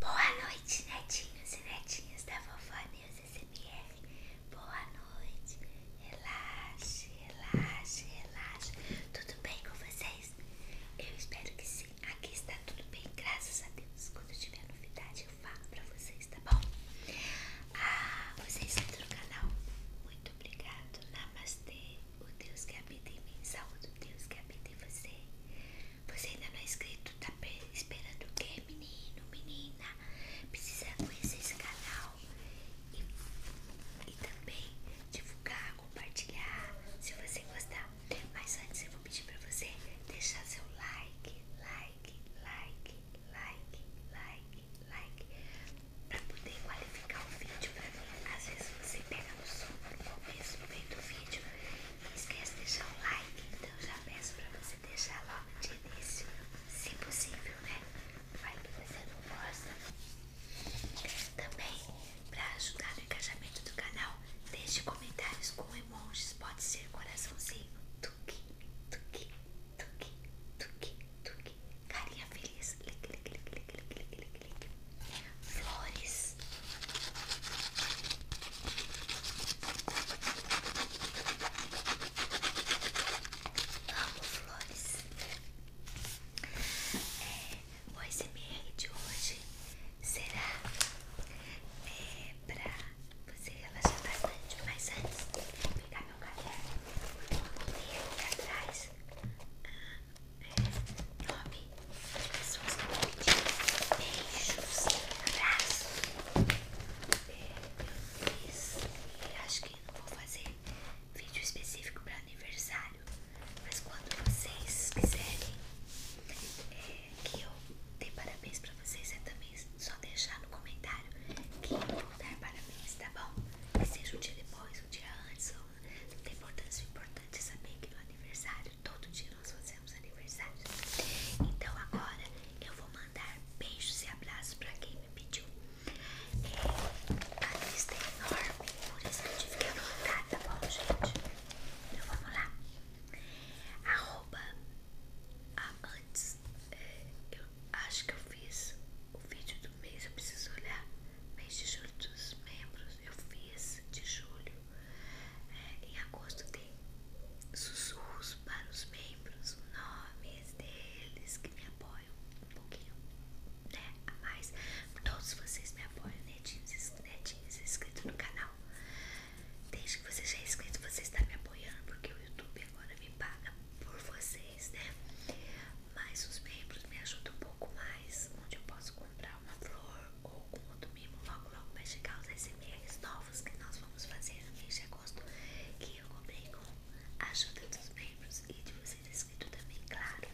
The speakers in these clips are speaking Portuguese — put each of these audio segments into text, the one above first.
Boa noite, netinhos e netinhas da Vovó News SMR. Boa noite. Relaxe, relaxe, relaxe. Tudo bem com vocês? Eu espero que sim. Aqui está tudo bem, graças a Deus. Quando tiver novidade, eu falo pra vocês, tá bom? Ah, vocês entram no canal. Muito obrigado. Namastê. O Deus que habita em mim. Saúde o Deus que habita em você. Você ainda não é inscrito? Tá esperando o que, menino, menina? Precisa conhecer esse canal e, também divulgar, compartilhar se você gostar. Mas antes eu vou pedir pra você deixar seu like, like, like, like, like, like, pra poder qualificar o vídeo pra mim. Às vezes você pega no som no começo, no meio do vídeo. Não esqueça de deixar o like, então já peço para você deixar logo de início, se possível, né? Vai você não gosta. Também, para ajudar no engajamento do canal, deixe comentários com emojis, pode ser coraçãozinho, tuque, tuque, tuque, tuque, tuque, carinha feliz, lique, lique, lique, lique, lique, lique, lique. flores. Amo flores. É, o ASMR de hoje será é, pra você relaxar bastante. Mas antes, vou pegar meu caderno. Vou ler aqui atrás. Ah, é, nome as pessoas que vão pedir beijos, abraços. Eu fiz, acho que não vou fazer vídeo específico para aniversário, mas quando vocês quiserem é, que eu dê parabéns para vocês, é também só deixar no comentário que eu vou dar parabéns, tá bom? Que seja um dia depois, um dia antes, não tem importância, o importante é saber que no aniversário Todo dia nós fazemos aniversário. Então agora eu vou mandar beijos e abraços pra quem me pediu. É, a lista é enorme, por isso que eu tive que tá bom, gente? Então vamos lá. antes. É, eu acho que eu fiz o vídeo do mês, eu preciso olhar. Mês de julho dos membros, eu fiz de julho. Em agosto tem sussurros para os membros, nomes deles que me apoiam um pouquinho, né? A mais, todos vocês me apoiam, netinhos, né? netinhos né? inscritos no canal. Desde que você já é inscrito, você está me apoiando, porque o YouTube agora me paga por vocês, né? Mas os membros me ajudam um pouco mais, onde eu posso comprar uma flor, ou algum outro mimo. Logo, logo vai chegar os SMRs novos que nós vamos fazer no mês de agosto. Que eu comprei com a ajuda dos membros e de vocês inscritos tá também, claro.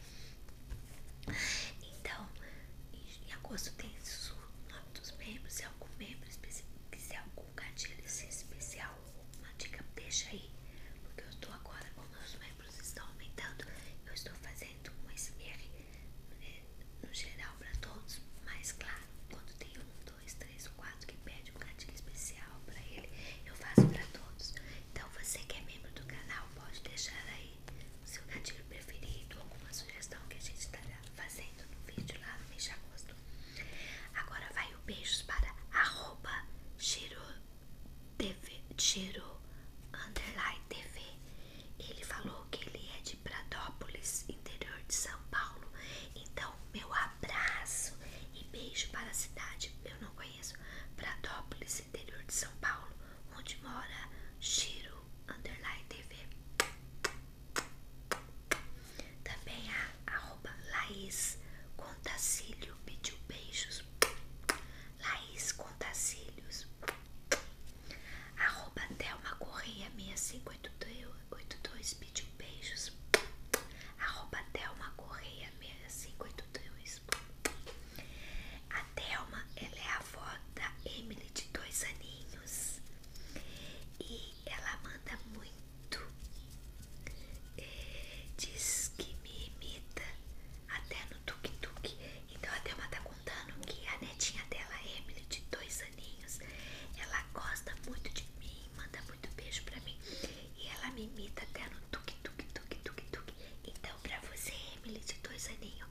Então, em agosto tem isso, o nome dos membros. Se algum membro quiser algum gatilho especial, uma dica, deixa aí. Porque eu estou agora, como os membros estão aumentando, eu estou fazendo um SMR no geral para todos, mas claro, quando tem um, dois, três quatro que pede um gatilho especial para ele, eu faço para todos. Então você que é membro do canal pode deixar aí o seu gatilho preferido, alguma sugestão que a gente estará fazendo no vídeo lá no mês de agosto. Agora vai o beijos para arroba ele falou que ele é de Pradópolis, interior de São Paulo. Então, meu abraço e beijo para a cidade. Eu não conheço Pradópolis, interior de São Paulo, onde mora Shiro Underline TV. Também a arroba Laís Contacílio pediu beijos. Laís Contacilhos Arroba Thelma Correia 6582 pediu beijos. Arroba Thelma Correia 6582. A Thelma, ela é avó da Emily de dois aninhos. E ela manda muito. É, diz que me imita até no tuk-tuk. Então a Thelma tá contando que a netinha dela, Emily, de dois aninhos, ela gosta muito de mim, manda muito beijo pra mim e ela me imita até no tuk tuk tuk tuk tuk. Então, pra você, Emily, de dois aninhos.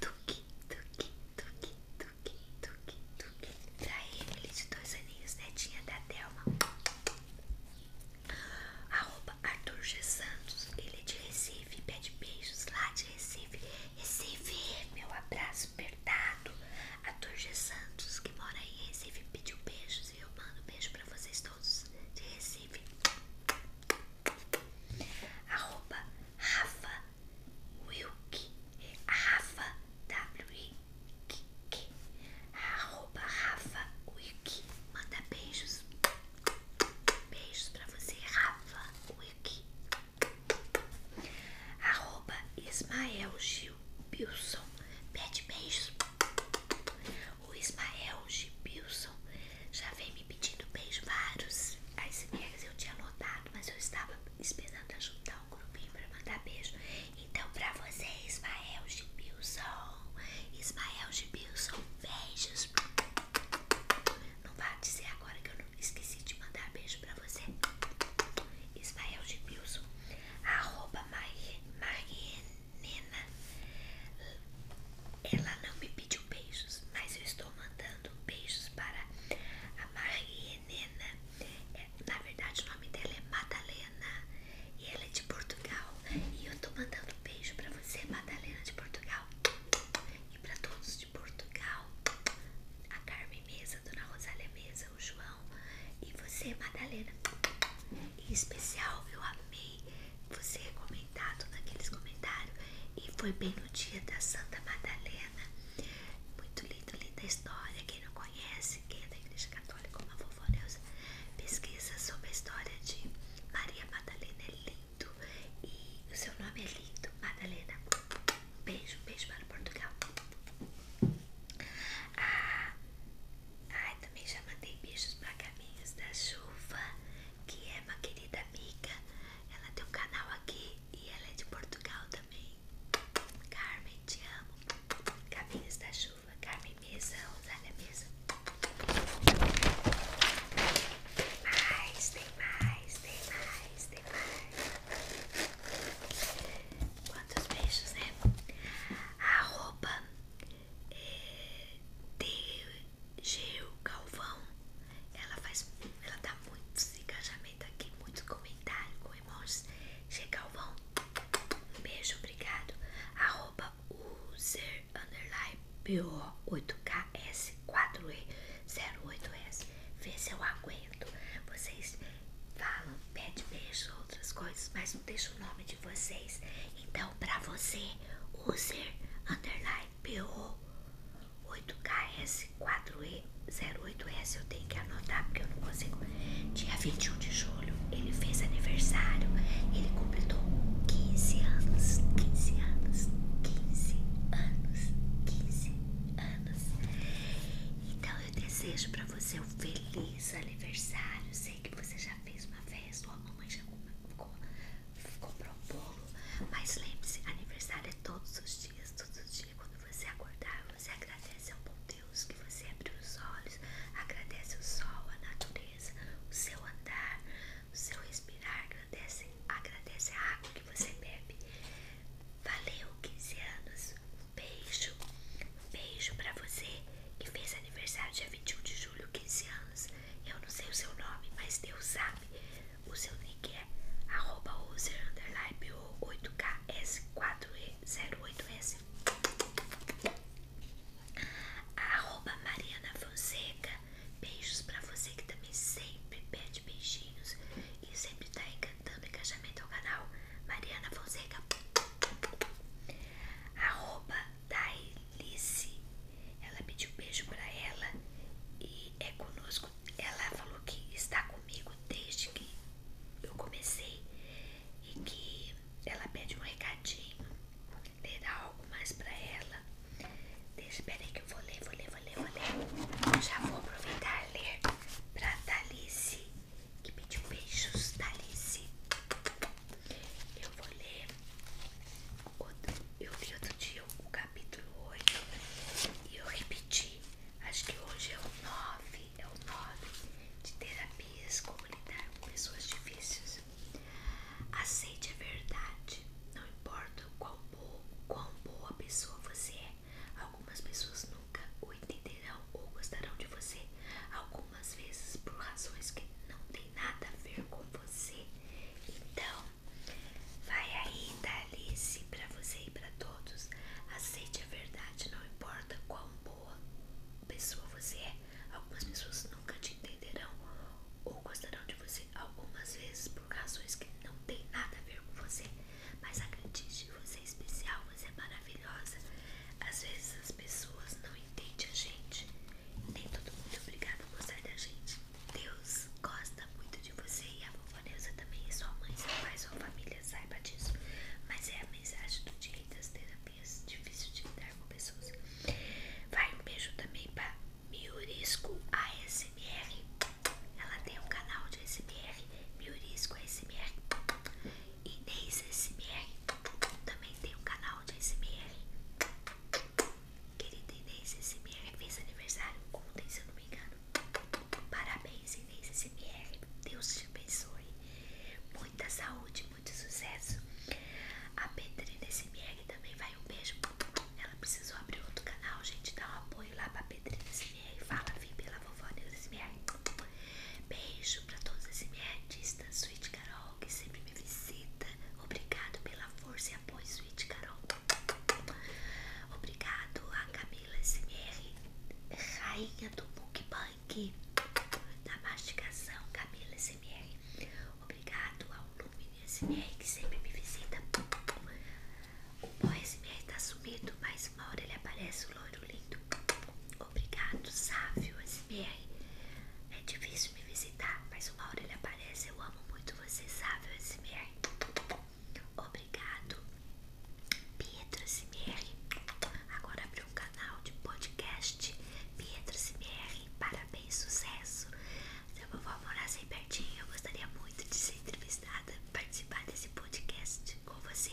Tuque, tuque, tuque, tuque, tuque, tuque. Pra Emily de dois aninhos, netinha da Thelma. Arroba Arthur G. Santos, ele é de Recife, pede beijos lá de Recife. Recife, meu abraço perdado Arthur G. Santos, que mora em Recife, pediu beijos e eu mando beijo pra vocês todos de Recife. Arroba Rafa Wilk, é Rafa W. Arroba Rafa Wiki, manda beijos Beijos pra você, Rafa Wiki. Arroba Ismael Gil Bilson. Pede beijos. O Ismael Gil Bilson já vem me pedindo beijos vários. As minhas eu tinha lotado, mas eu estava esperando ajudar um grupinho pra mandar beijo. Então, pra você, Ismael Gil Bilson. Ismael Gibilson, beijos. Não vá dizer agora que eu não esqueci de mandar beijo pra você. Ismael Gibilson, arroba Marienena. Ela não me pediu beijos, mas eu estou mandando beijos para a Marienena. É, na verdade, o nome dela é Madalena. E ela é de Portugal. E eu tô mandando beijo pra você, Madalena de Portugal. E pra todos de Portugal. A Carmen Mesa, Dona Rosália Mesa, o João. E você, Madalena. Em especial, eu amei você comentar todos aqueles comentários. E foi bem no dia da Santa Madalena. Muito linda linda história. Quem não conhece, quem é da Igreja Católica, como a vovó Neuza, pesquisa sobre a história de Maria Madalena é lindo e o seu nome é lindo, Madalena. Beijo, beijo para Portugal. Ah, ai, também já mandei beijos para Caminhos da Chuva, que é uma querida amiga. Ela tem um canal aqui e ela é de Portugal também. Carmen, te amo. Caminhos da Chuva, Carmen camisa, usar a camisa. Mais, tem mais, tem mais, tem mais. Quantos beijos, né? Arroba é, eh, DG Galvão. Ela faz. Ela dá muitos engajamentos aqui, muitos comentários com emojis. G Galvão. beijo, obrigado. Arroba user underline PO 8KS 4E08S. Vê se eu aguento. Vocês falam, pede beijo, outras coisas, mas não deixa o nome de vocês. Então, pra você, user underline PO 8KS 4E08S. Eu tenho que anotar porque eu não consigo. Dia 21 de julho, ele fez aniversário. Ele completou 15 anos, 15 anos, 15 anos, 15 anos. Então eu desejo para você um feliz aniversário. Sei que você já fez uma festa, ou a mamãe já comprou, comprou um bolo, mas lembre-se, aniversário é todos os dias, todos os dias. Quando você acordar, você agradece ao bom Deus que você abriu os olhos, agradece o sol, a natureza, o seu andar, seu respirar, agradece, agradece a água que você bebe. Valeu, 15 anos. Um beijo, beijo pra você que fez aniversário dia 21 de julho, 15 anos. Eu não sei o seu nome, mas Deus sabe. O seu nick é arroba user underline 8KS4E08S. A Mariana Fonseca, beijos pra você que também sempre pede beijinhos e sempre tá encantando encaixamento ao canal. Mariana Fonseca, arroba Dailice, ela pediu beijo pra ela e é conosco. Ela falou que está comigo desde que eu comecei e que ela pede um recadinho ler algo mais pra ela. Deixa, peraí que eu vou ler, vou ler, vou ler, vou ler. já vou aproveitar e ler pra Thalisse, que pediu beijos, Thalisse. Eu vou ler, eu vi outro dia o capítulo 8 e eu repeti, acho que hoje é o 9, é o 9 de terapias, como lidar com pessoas difíceis. Aceite a verdade, não importa qual boa, quão boa pessoa você é. Algumas pessoas nunca o entenderão ou gostarão de você, algumas vezes por razões que não têm nada a ver com você. Então, vai aí, Dalice para você e para todos. Aceite a verdade, não importa qual boa pessoa você é. Algumas pessoas nunca te entenderão ou gostarão de você algumas vezes por razões que não tem nada a ver com você. Mas acredite, você é especial, você é maravilhosa. Às vezes as pessoas não entendem a gente. Nem todo mundo é obrigado a gostar da gente. Deus gosta muito de você e a vovó Neuza também, e sua mãe, seu pai, sua família, saiba disso. Mas é a mensagem do dia das terapias, difícil de lidar com pessoas. Vai um beijo também para Miurisco ASMR. Ela tem um canal de ASMR, Miurisco ASMR. Inês ASMR também tem um canal de ASMR. Querida Inês ASMR fez aniversário ontem, se eu não me engano. Parabéns, Inês ASMR. Deus te abençoe. Muita saúde, muito sucesso. A Pedrina SMR e também vai um beijo. Ela precisou abrir outro canal, gente. Dá um apoio lá pra Pedrina SMR. Fala, vim pela vovó Neus SMR. Beijo pra todos os da Sweet Carol, que sempre me visita. Obrigado pela força e apoio, Sweet Carol. Obrigado a Camila SMR, rainha do mukbang da mastigação, Camila SMR. Obrigado ao menino SMR que sempre me visita. O boy SMR tá sumido, mas uma hora ele aparece, o loiro lindo. Obrigado, sábio SMR. É difícil me visitar, mas uma hora ele aparece. Eu amo muito você, sábio SMR. Obrigado, Pietro SMR. Agora abriu um canal de podcast. Pietro SMR, parabéns sucesso. Se a vovó morasse aí pertinho, eu gostaria muito de ser entrevistada, participar desse podcast com você,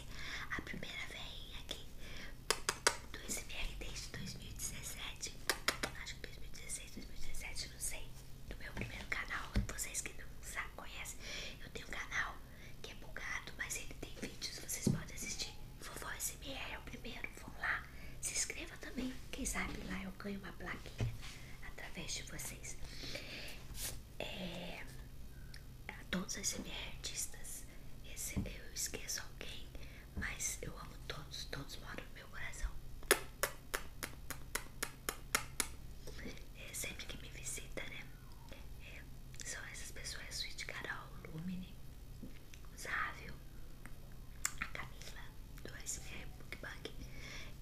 a primeira veinha aqui do SBR desde 2017. Acho que 2016, 2017, não sei. No meu primeiro canal, vocês que não sabem, conhecem, eu tenho um canal que é bugado, mas ele tem vídeos, vocês podem assistir. Vovó SBR é o primeiro vão lá, se inscreva também. Quem sabe lá eu ganho uma plaquinha através de vocês. É, a todos as artistas, eu esqueço alguém, mas eu amo todos, todos moram no meu coração. É sempre que me visita, né? É, são essas pessoas, suíte Carol, Lumine, Závio a Camila do SMR Bookbug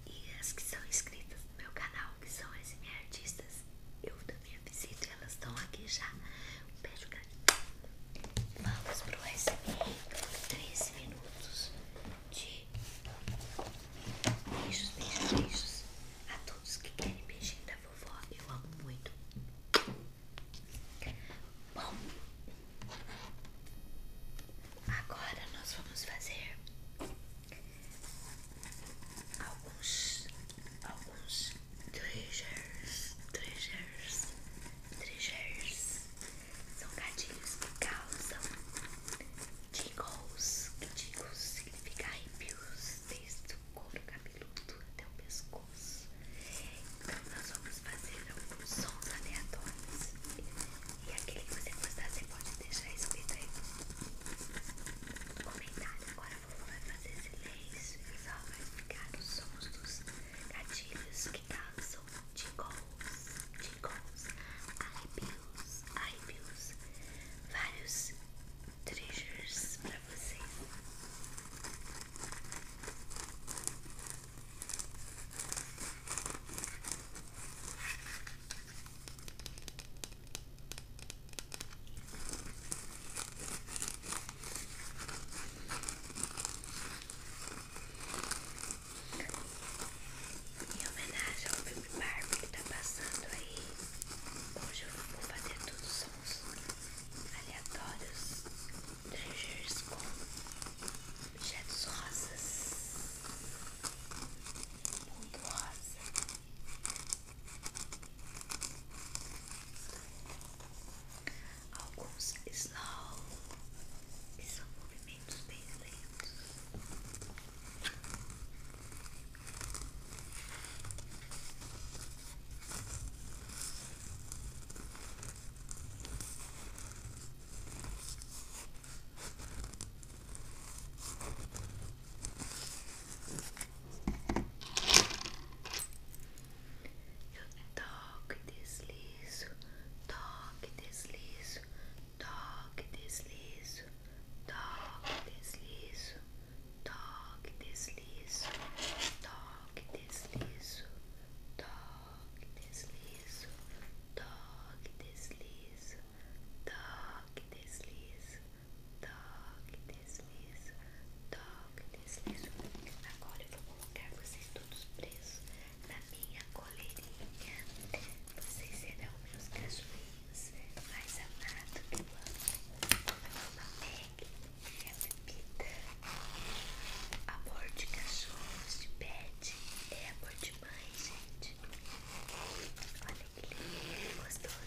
e as que são inscritas no meu canal, que são SMR Artistas, eu também visito elas estão aqui já. Um beijo grande. Vamos pro SMR 13 minutos de beijos, beijos, beijos a todos que querem beijinho da vovó. Eu amo muito. Bom, Agora nós vamos fazer alguns alguns triggers, triggers, triggers. São gatilhos que causam tingles, que tingles significa arrepios desde o couro cabeludo até o pescoço nós vamos fazer alguns sons aleatórios e aquele que você gostar você pode deixar escrito aí no comentário. Agora a vovó vai fazer silêncio e só vai ficar os sons dos gatilhos que causam tingles, tingles, arrepios, arrepios, vários treasures pra você em homenagem ao filme Barbie que tá passando aí, hoje eu vou fazer todos os sons aleatórios, triggers com objetos rosas. Muito rosa. Alguns slow, que são movimentos bem lentos. Toque, deslizo, toque, deslizo, toque, deslizo, toque, deslizo, toque, deslizo, toque, deslizo, toque toque, deslizo, toque, deslizo, toque, deslizo, toque, deslizo, toque, deslizo. Agora eu vou colocar vocês todos presos na minha coleirinha. Vocês serão meus cachorrinhos mais amados que eu amo. A Meg, minha bebida. Amor de cachorros de pet. É amor demais, gente. Olha que lindo, gostoso.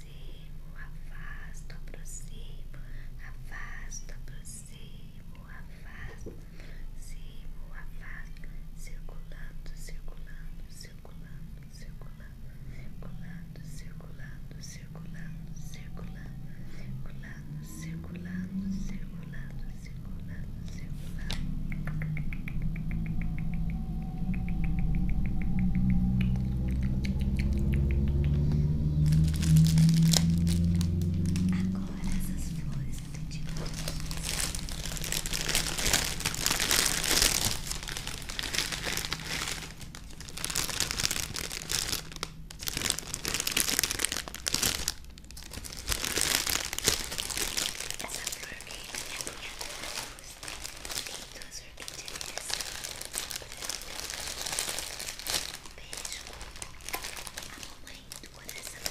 aproximo, afasto, aproximo, afasto, aproximo, afasto, aproximo, afasto, circulando, circulando, circulando, circulando, circulando, circulando, circulando, circulando, circulando, circulando, circulando, circulando, circulando. Agora essas flores eu tenho essa flor veio da né, minha um beijo. A mamãe do coração.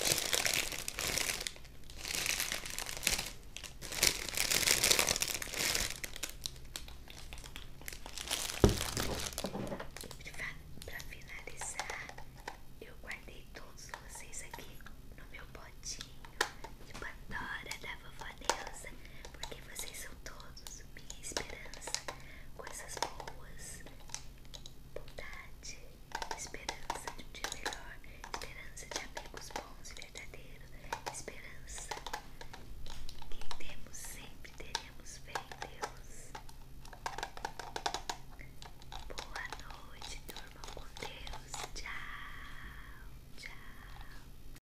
Para finalizar, eu guardei todos vocês aqui no meu potinho de Pandora da vovó Neuza porque vocês são todos minha esperança, coisas boas, bondade, esperança de um dia melhor, esperança de amigos bons e verdadeiros, esperança que temos sempre, teremos fé em Deus. Boa noite, durmam com Deus. Tchau, tchau.